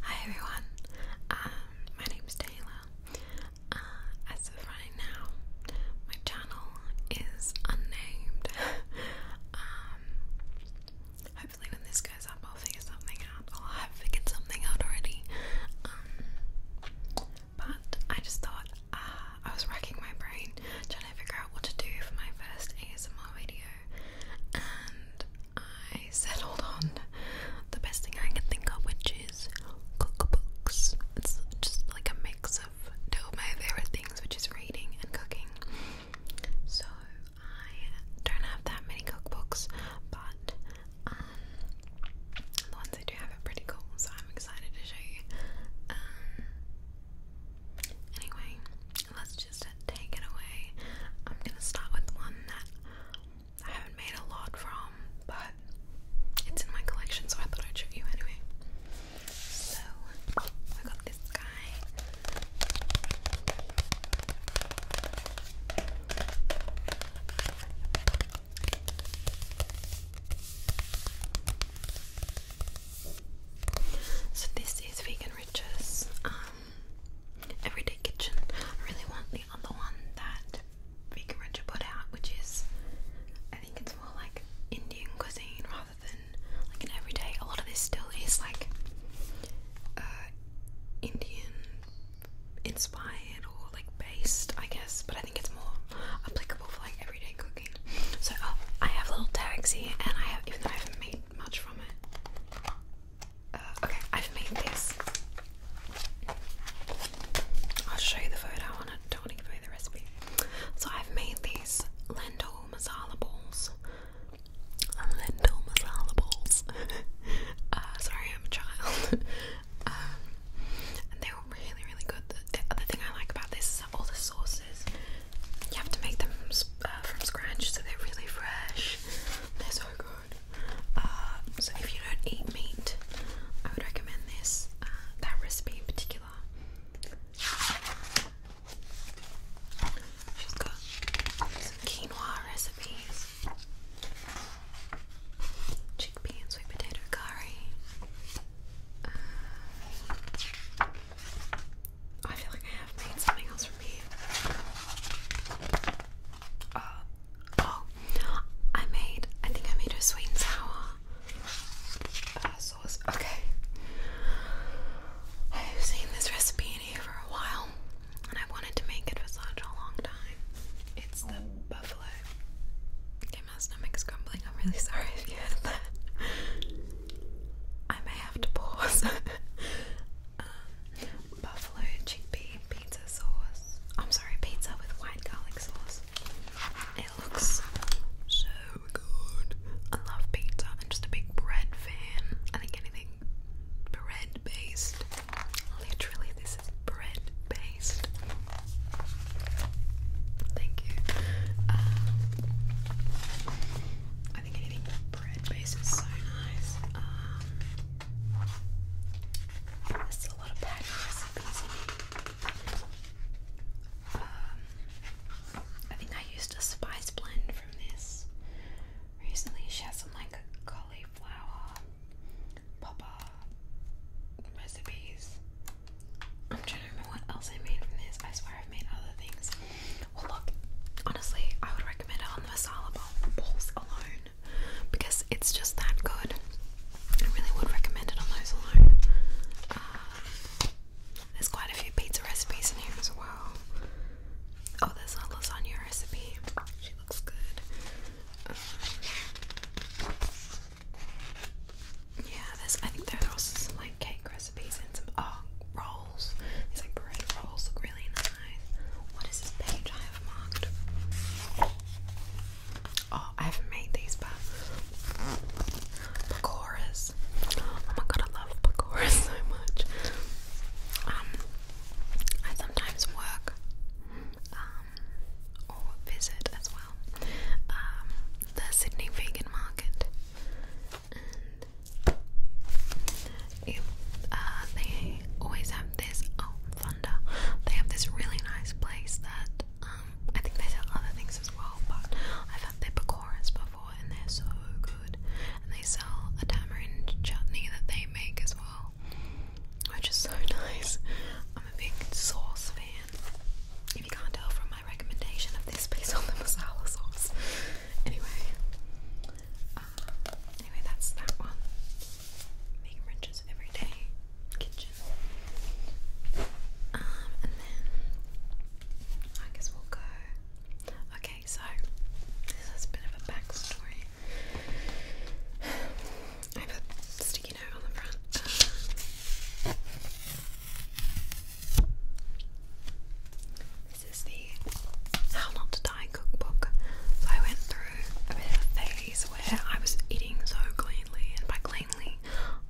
Hi everyone, um, my name's Taylor. Uh, as of right now, my channel is unnamed. Um, hopefully, when this goes up, I'll figure something out, or I've figured something out already. Um, but I just thought uh, I was racking my brain trying to figure out what to do for my first ASMR video, I settled on the best thing I can think of, which is cookbooks. It's just like a mix of two of my favorite things, which is reading and cooking. So I don't have that many cookbooks, but um, the ones I do have are pretty cool, so I'm excited to show you. Um, anyway, Let's just take it away. I'm gonna start with one that I haven't made a lot from, but it's in my collection, so I thought I'd show you anyway. So I got this guy. So this is Vegan Riches. Um, Everyday Kitchen. I really want the other one that Vegan put out, which is, I think it's more like Indian cuisine rather than like an everyday. A lot of this still is like uh, Indian inspired or like based, I guess, but I think it's more applicable for like everyday cooking. So, oh, I have little tags here, and I have, even though I haven't made much from it, uh, okay, I've made this. I'll show you the photo I Don't want to give away the recipe. So I've made these lentil masala balls. Um, lentil masala balls. Uh, sorry, I'm a child. Um, and they were really, really good. The, other thing I like about this is all the sauces. You have to make them uh, from scratch, so they're really fresh. Um, so if you don't eat meat, I would recommend this, uh, that recipe in particular. She's got some quinoa recipes, chickpea and sweet potato curry. Uh, I feel like I have made something else for me. Uh, oh, I made, I think I made a sweet and sour uh, sauce. Okay. I've seen this recipe in here for a while and I wanted to make it for such a long time. It's the buffalo. Okay, my stomach is crumbling. I'm really sorry if you heard that. I may have to pause. Um, buffalo chickpea pizza sauce. I'm sorry, pizza with white garlic sauce. It looks so good. I love pizza. I'm just a big bread fan. I think anything bread based. Literally, this is bread based. Thank you. Um, I think anything bread based is so nice. Um, a lot of pattern recipes um, I think I used a spice blend from this recently. She has some like cauliflower popper recipes. I'm trying to remember what else I made from this. I swear I've made other things. Well, look, honestly, I would recommend it on the masala balls alone because it's just that good. I really would recommend it on those alone. Uh, there's quite a few pizza recipes in here as well. Oh, there's a lasagna recipe. She looks good. Um, yeah, there's. I think there also some like cake recipes and some oh, roll these bread rolls look really nice. What is this page I have marked? Oh, I haven't made these, but pakoras. Oh my god, I love pakoras so much. Um, I sometimes work, um, or visit as well, um, the Sydney Vegan Market. Uh, they always have this. Oh, Thunder! They have this really nice place that um, I think they sell other things as well, but I've had their pecoras before, and they're so good. And they sell a tamarind chutney that they make as well, which is so nice. I'm a big sauce fan. If you can't tell from my recommendation of this piece on the masala sauce. Anyway, um, anyway, that's that one. Make wrenches every day. Kitchen. Um, and then I guess we'll go. Okay, so this is a bit of a backstory. I have a sticky note on the front. This is the How Not to Die cookbook. So I went through a bit of a phase where I was eating so cleanly, and by cleanly,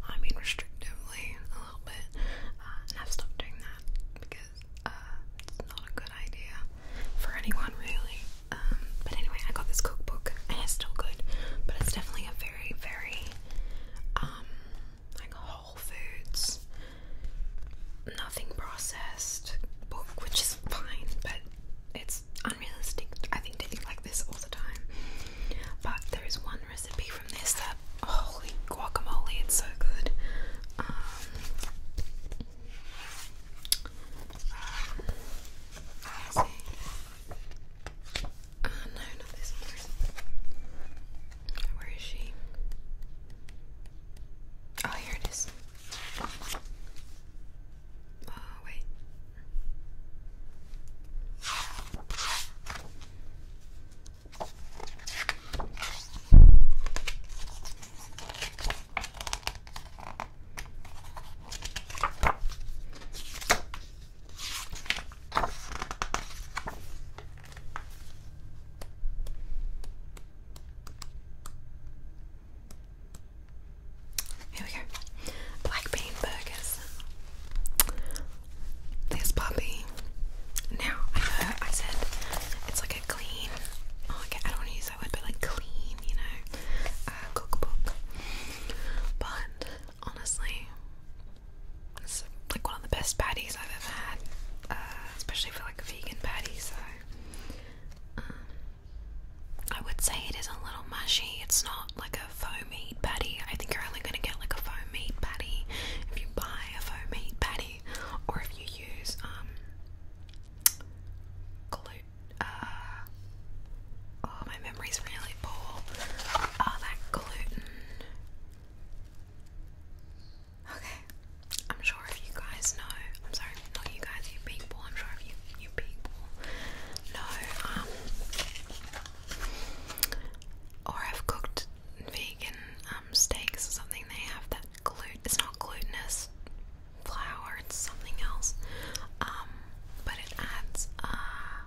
I mean restrictively a little bit, uh, and I've stopped doing that because uh, it's not a good idea for anyone really. Um, but anyway, I got this cookbook, and it's still good, but it's definitely a very, very um, like Whole Foods, nothing processed which is fine, but it's unrealistic. I think they think like this all the time. But there is one recipe from this that holy guacamole, it's so good. Ah, no, not this one. Where is she? Oh, here it is. Oh, wait. Here we go. Black bean burgers. There's Bobby. Now I I said it's like a clean. okay, oh, I don't use that word, but like clean, you know, uh, cookbook. But honestly, it's like one of the best patties I've ever had, uh, especially for like um, I would say it is a little mushy. It's not like a foamy meat patty. I think you're only going to get like a foamy meat patty if you buy a foamy meat patty, or if you use um uh, oh, my memory's really poor. Oh, that gluten. Okay, I'm sure if you guys know, I'm sorry, not you guys, you people, I'm sure if you, you people know, um, or have cooked vegan um, steaks or something, they have that gluten, it's not glutinous flour, it's something else, um, but it adds, uh,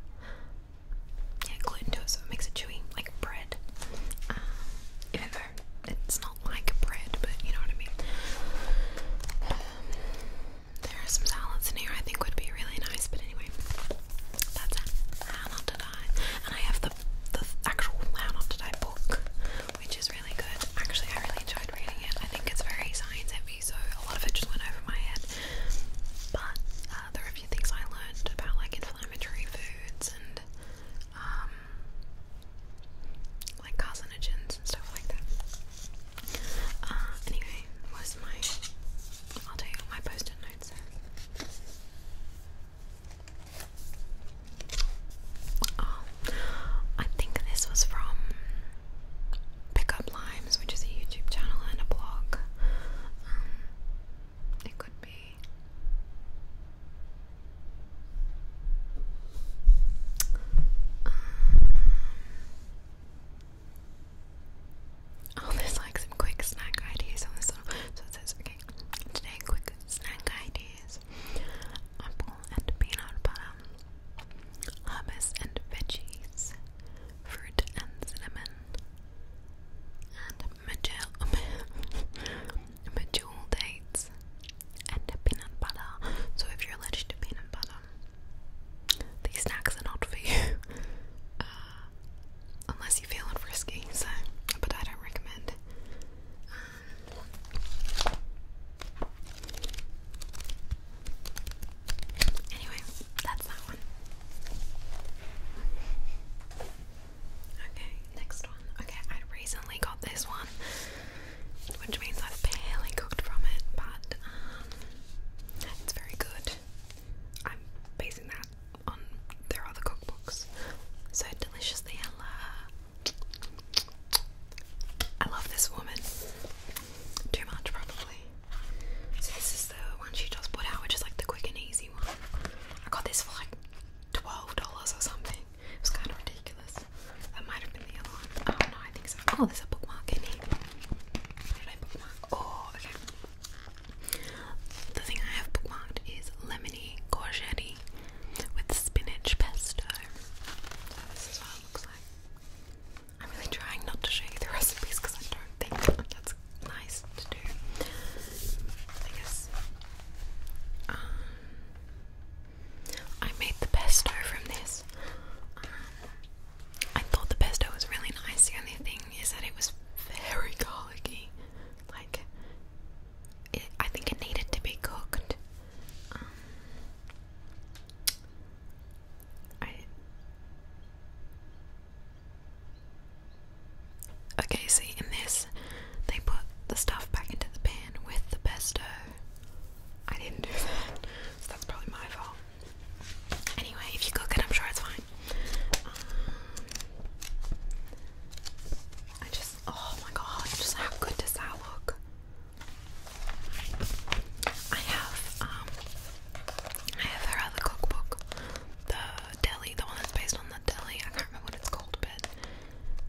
yeah, gluten to it so it makes it chewy, like bread, um, even though it's like bread, but you know what I mean. Um, there are some salads in here I think would be really nice, but anyway, that's How Not to Die, and I have the the actual How Not to Die book, which is really good. Actually, I really enjoyed reading it. I think it's very science heavy, so a lot of it just went over my head. But uh, there are a few things I learned about like inflammatory foods and um, like carcinogens and stuff like that. Uh, anyway, was my I'll tell you what my post-it note says. Oh, I think this was from Pick Up Limes, which is a YouTube channel and a blog. Um, it could be. Um, oh, there's like some quick snack ideas on this one. So it says, okay, today quick snack ideas apple and peanut butter, hummus and veggies, fruit and cinnamon, and medjool dates and peanut butter. So if you're allergic to peanut butter, these snacks are not for you. Uh, unless you feel it risky, so but I don't recommend. Anyway, that's that one. Okay, next one. Okay, I recently got this one, which means I've barely cooked from it, but um, it's very good. I'm basing that on their other cookbooks. So deliciously, Ella. I love this woman. Too much, probably. So this is the one she just put out, which is like the quick and easy one. I got this for twelve dollars or something. It was kind of ridiculous. That might have been the other one. Oh no, I think so. Oh, there's a bookmark in here. did I bookmark? Oh, okay. The thing I have bookmarked is lemony courgette with spinach pesto. this is what it looks like. I'm really trying not to show you the recipes because I don't think that's nice to do. I guess um, I made the pesto from this. Um, I thought the pesto was really nice. The only thing is that it was very garlicky. Like, I think it needed to be cooked. Um, Okay, see, in this, they put the stuff back into the pan with the pesto. I didn't do that, so that's probably my fault. Anyway, if you cook it, I'm sure it's fine. Um, I just, oh my god, just how good does that look? I have, um, I have her cookbook, the deli, the one that's based on the deli. I can't remember what it's called, but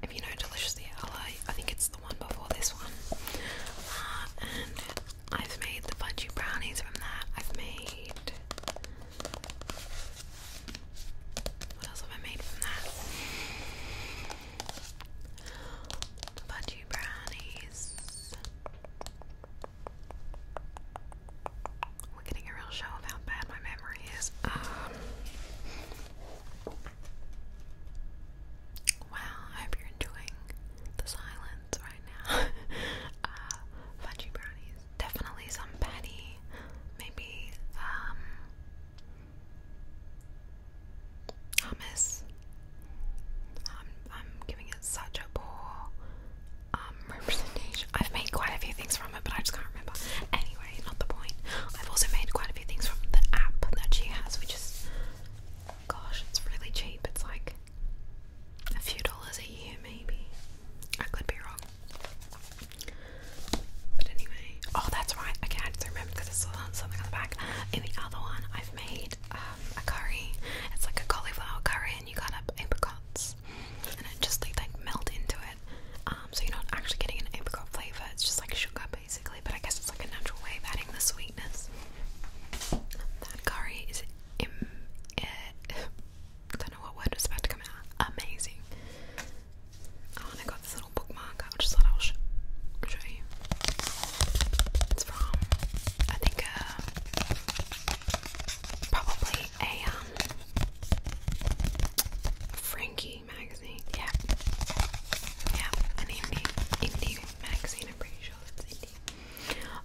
if you know Deliciously LA, I think it's the one before this one. Uh, and I've made the fudgy brownies from that. I've made. What else have I made from that? Fudgy brownies. We're getting a real show of how bad my memory is. Um, wow, I hope you're enjoying the silence right now. Uh, fudgy brownies, definitely some patty, maybe um, hummus. Um, I'm giving it such a poor um, representation. I've made quite a few things from but I just can't remember. Anyway, not the point. I've also made quite a few things from the app that she has, which is, gosh, it's really cheap. It's like a few dollars a year, maybe. I could be wrong. But anyway, oh, that's right. Okay, I just remembered because I saw something on the back. And the other one, I've made um, a curry. It's like a cauliflower curry, and you cut up apricots and it just like, like into it. Um, so you're not actually getting an apricot flavour, it's just like sugar basically, but I guess it's like a natural way of adding the sweetness. That curry is eh, I don't know what word was about to come out. Amazing. Oh, and I got this little bookmark. I just thought I'll show you. It's from I think uh, probably a um Frankie magazine. Yeah. Yeah, indie magazine,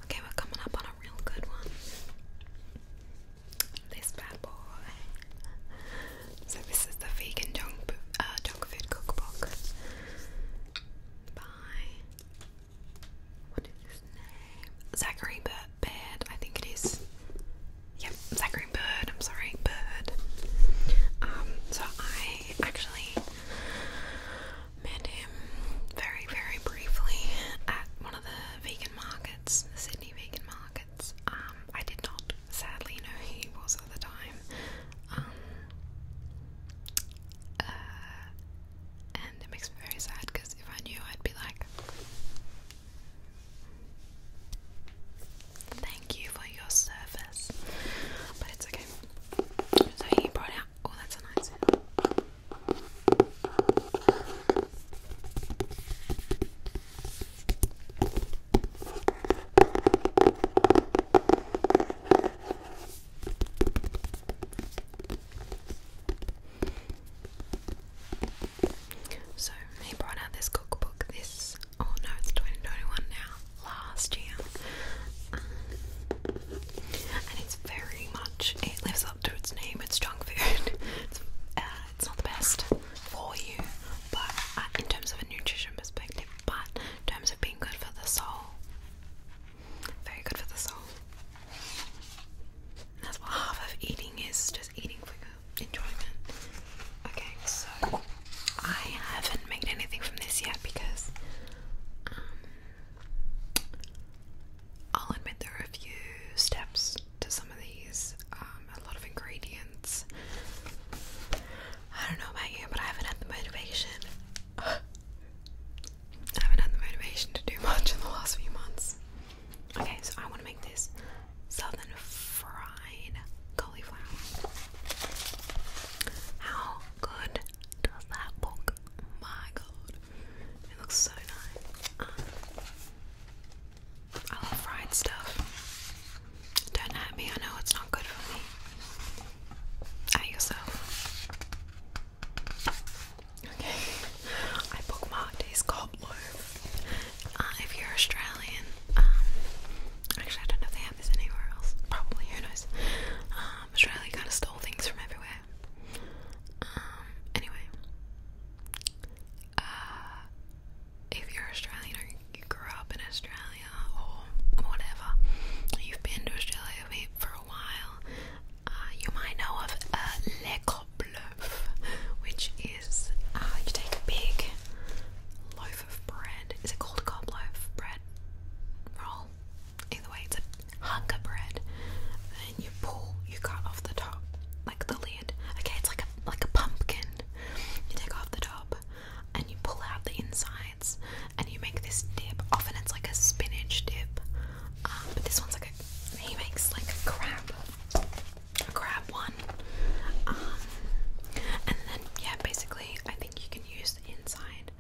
Okay, we're coming up on a real good one. This bad boy. So this is the vegan junk uh, dog food cookbook. By what is his name? Zachary Burt Bird, I think it is. Yep, Zachary Bird, I'm sorry, Bird. Um, so I actually met him very, very briefly at one of the vegan markets, the Sydney vegan markets. Um, I did not sadly know who he was at the time. Um, uh, and it makes me very sad because if I knew, I'd be like, Thank you for your service. But it's okay. So he brought out. Oh, that's a nice so he brought out this cookbook this oh no it's 2021 now last year and it's very much it lives up to its name it's junk food uh, it's, not the best for you but uh, in terms of a nutrition perspective but in terms of being good for the soul very good for the soul that's what half of eating is just eating for your enjoyment. Okay, so I haven't made anything from this yet because um, I'll admit there are a few steps to some of these, um, a lot of ingredients. I don't know about you, but I haven't had the motivation. I haven't had the motivation to do much in the last few months. Okay, so I want to make this southern fried cauliflower. How good does that look? My god, it looks so nice. I love fried stuff. Don't at me, I know it's not good for me. At yourself. Okay, I bookmarked his cob uh, if you're Australian, um, actually I don't know if they have this anywhere else, probably, who knows, um, Australia kind of stole things from everywhere, um, anyway, uh, if you're Australian or you grew up in Australia or whatever, you've been to Australia for a while, uh, you might know of uh, Le top which is uh, you take a big loaf of bread. Is it called cob loaf bread roll? Either way, it's a hunker bread. And you pull, you cut off the top, like the lid. Okay, it's like a like a pumpkin. You take off the top and you pull out the insides and you make this dip. Often it's like a spinach dip, um, but this one's like a he makes like a crab grab one. Um, and then, yeah, basically, I think you can use inside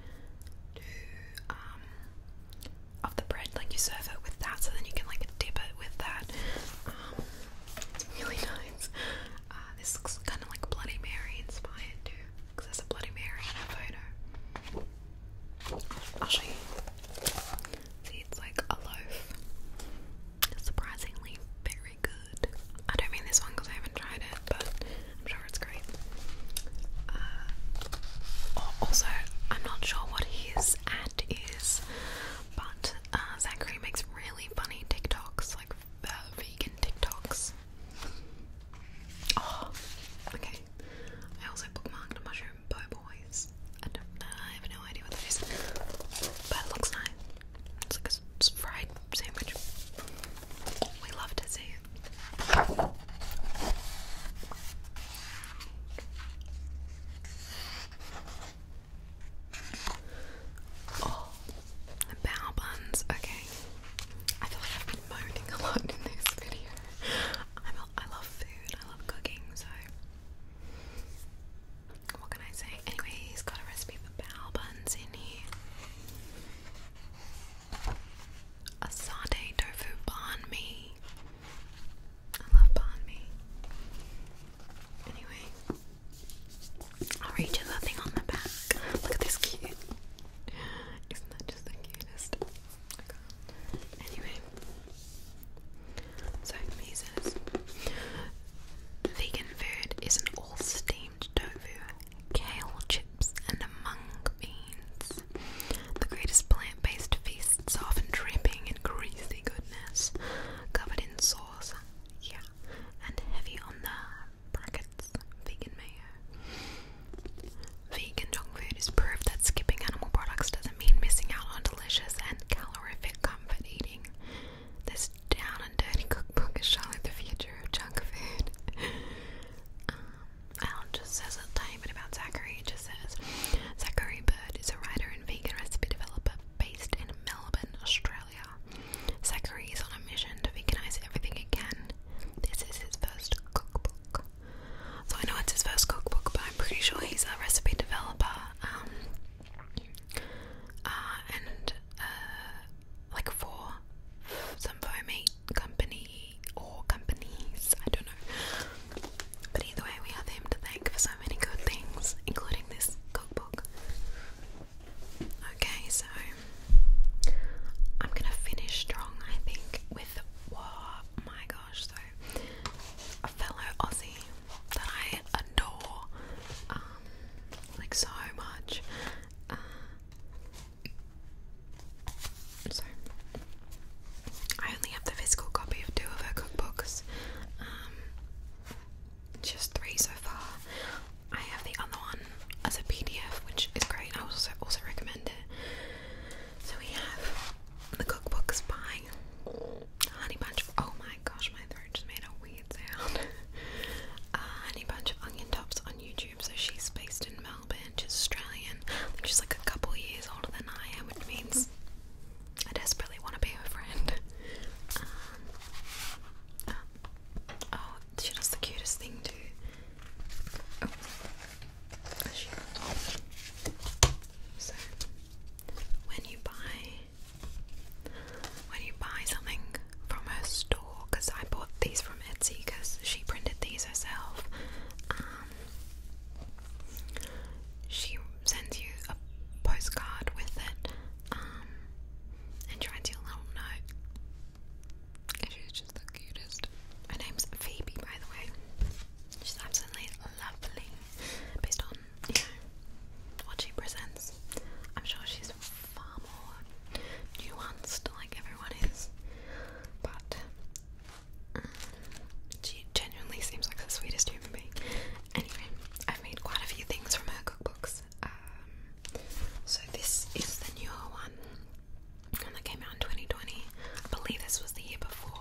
um, of the bread, like you serve it with that, so then you can like dip it with that. it's um, really nice. Uh, this looks kind of like Bloody Mary inspired too, because there's a Bloody Mary in a photo. I'll show you. See, it's like a loaf. Surprisingly very good. I don't mean this one because I haven't tried it, but I'm sure it's great. Uh, also, I'm not sure what his at is, but uh, Zachary makes really funny TikToks, like uh, vegan TikToks. Oh, okay. I also bookmarked Mushroom Bow Boys. I, have no idea what that is. But it looks nice. It's like a fried sandwich. We love to see Oh, the bow buns. Okay. I feel like I've been moaning a lot in this video. I'm a, i love food, I love cooking, so what can I say? Anyway, he's got a recipe for bao buns in here. A tofu banh mi. I love banh mi. Anyway, I'll read you the thing on the back. Look at this cute. Isn't that just the cutest? Anyway, so vegan food is an all steamed tofu, kale chips, and mung beans. The greatest plant based feasts often dripping in greasy goodness, covered in sauce, yeah, and heavy on the brackets vegan mayo. Vegan junk food is proved that skipping animal products doesn't mean missing out on delicious and calorific comfort eating. This down and dirty cookbook is showing the future of junk food. um, just says a tiny about Zachary. It just says Zachary Bird is a writer and vegan recipe developer based in Melbourne, Australia. Zachary is on a mission to veganize everything he can. This is his first cookbook. So I know it's his first cookbook, but I'm pretty sure he's a recipe developer um, uh, and uh, like for some foamy company or companies, I don't know. But either way, we have him to thank for so many good things, including this cookbook. Okay, so I'm gonna finish strong, I think, with what? My gosh, so a fellow Aussie that I adore, um, like so much. Uh, so, I only have the physical copy of two of her cookbooks, um, just three so far. I have the other one as a PDF, which is great. I also also recommend it. So we have the cookbooks by honey bunch of, oh my gosh, my throat just made a weird sound. Uh, honey bunch of onion tops on YouTube. So she's based in Melbourne. She's Australian. I think she's like a couple years older than I am, which means I desperately want to be her friend. Um, um, oh, she does the cutest thing too. Oh, so when you buy when you buy something from her store because I bought these from Etsy because she printed these herself um, she sends you a postcard with it um, and writes you a little note and she's just the cutest My name's Phoebe by the way she's absolutely lovely based on what she presents. I'm sure she's far more nuanced, like everyone is, but mm, she genuinely seems like the sweetest human being. Anyway, I've made quite a few things from her cookbooks. Um, so this is the newer one, and that came out in 2020. I believe this was the year before.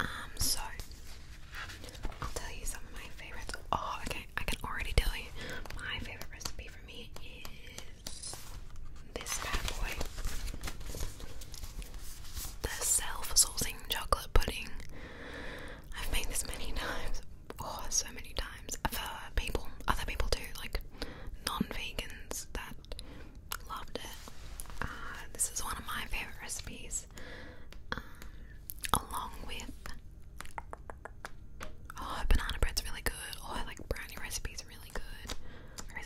Um, so I'll tell you some of my favorites. Oh, okay, I can already tell you my favorite recipe for me is this bad boy. The self-sourcing chocolate pudding. I've made this many times. Oh, so many times. For people, other people too, like non-vegans that loved it. Uh, this is one of my favorite recipes. Um, along with oh banana bread's really good oh I like brownie recipes really good where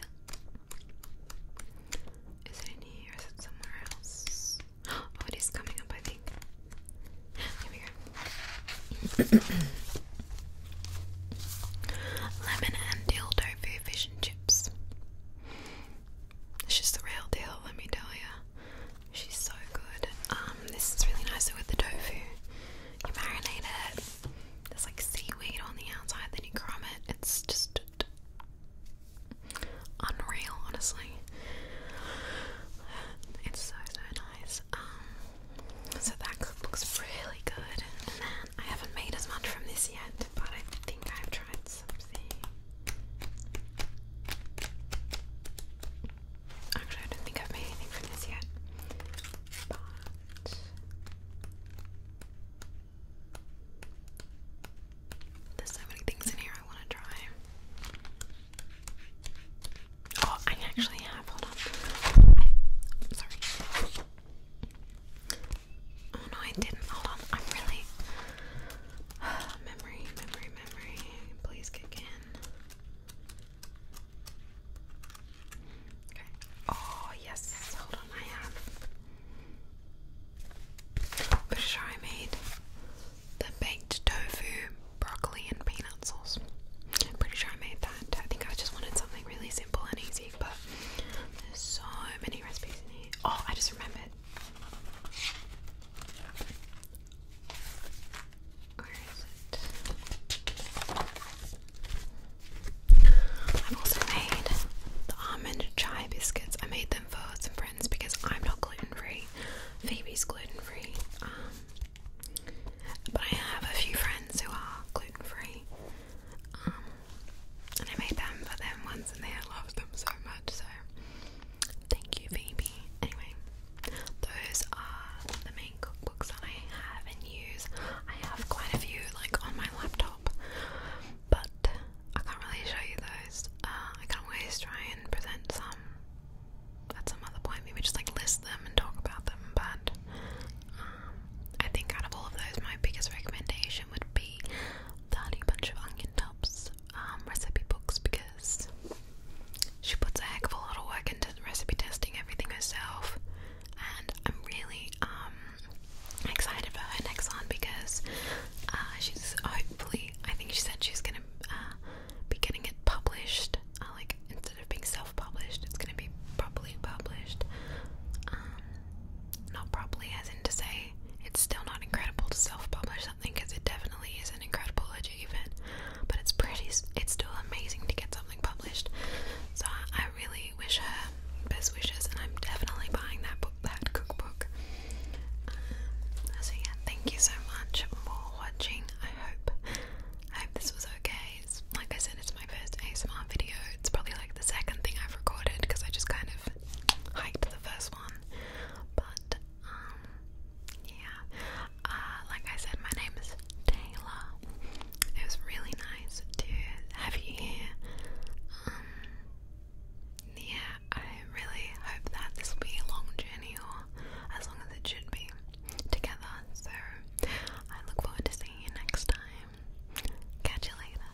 is it in here it somewhere else oh it is coming up I think here we go lemon and dill tofu fish and chips it's just the real deal, let me tell you. She's so good. Um, this is really nice with the tofu. You marinate it. There's like seaweed on the outside, then you crumb it. It's just unreal, honestly. It's so so nice. Um, so that cookbook's really good. And then I haven't made as much from this yet, but I think I've tried Actually, I don't think I've made anything from this yet. But there's so many things in here I want to try. Oh, I actually have. Hold on. sorry. Oh no, I didn't. Hold on. I'm really. memory, memory, memory. Please kick in. Okay. Oh, yes. Hold on. I have. Pretty sure I made the baked tofu, broccoli, and peanut sauce. I'm pretty sure I made that. I think I just wanted something really simple and easy, but there's so many recipes in here. Oh, I just remembered. I've also made the almond chai biscuits. I made them for some friends because I'm not gluten free. Phoebe's gluten free. Um, but I have a few friends who are gluten free. Um, and I made them for them once and they loved them so much so thank you Phoebe anyway those are the main cookbooks that I use I have quite a few like on my laptop but I can't really show you those uh, I can always try and present some at some other point maybe just like list them and talk about them but um, I think out of all of those my biggest recommendation would be the bunch of onion tops um, recipe books because she puts a heck of a lot of work into recipe testing everything herself, and I'm really um, excited for her next one because uh, she's hopefully I think she said she's gonna uh, be getting it published. Uh, like instead of being self-published, it's gonna be properly published. Um, not properly, as in to say it's still not incredible to self-publish something because it definitely is an incredible achievement. But it's pretty, it's still amazing to get something published. So I really wish her best wishes, and I'm definitely buying that book, that cookbook. Um, so yeah, thank you so much for watching. I hope, I hope this was okay. It's, like I said, it's my first ASMR video. It's probably like the second thing I've recorded because I just kind of hype the first one. But um yeah. Uh, like I said, my name is Taylor. It was really nice to have you here. Um yeah, I really hope that this will be a long journey or as long as it should be together. So I look forward to seeing you next time. Catch you later.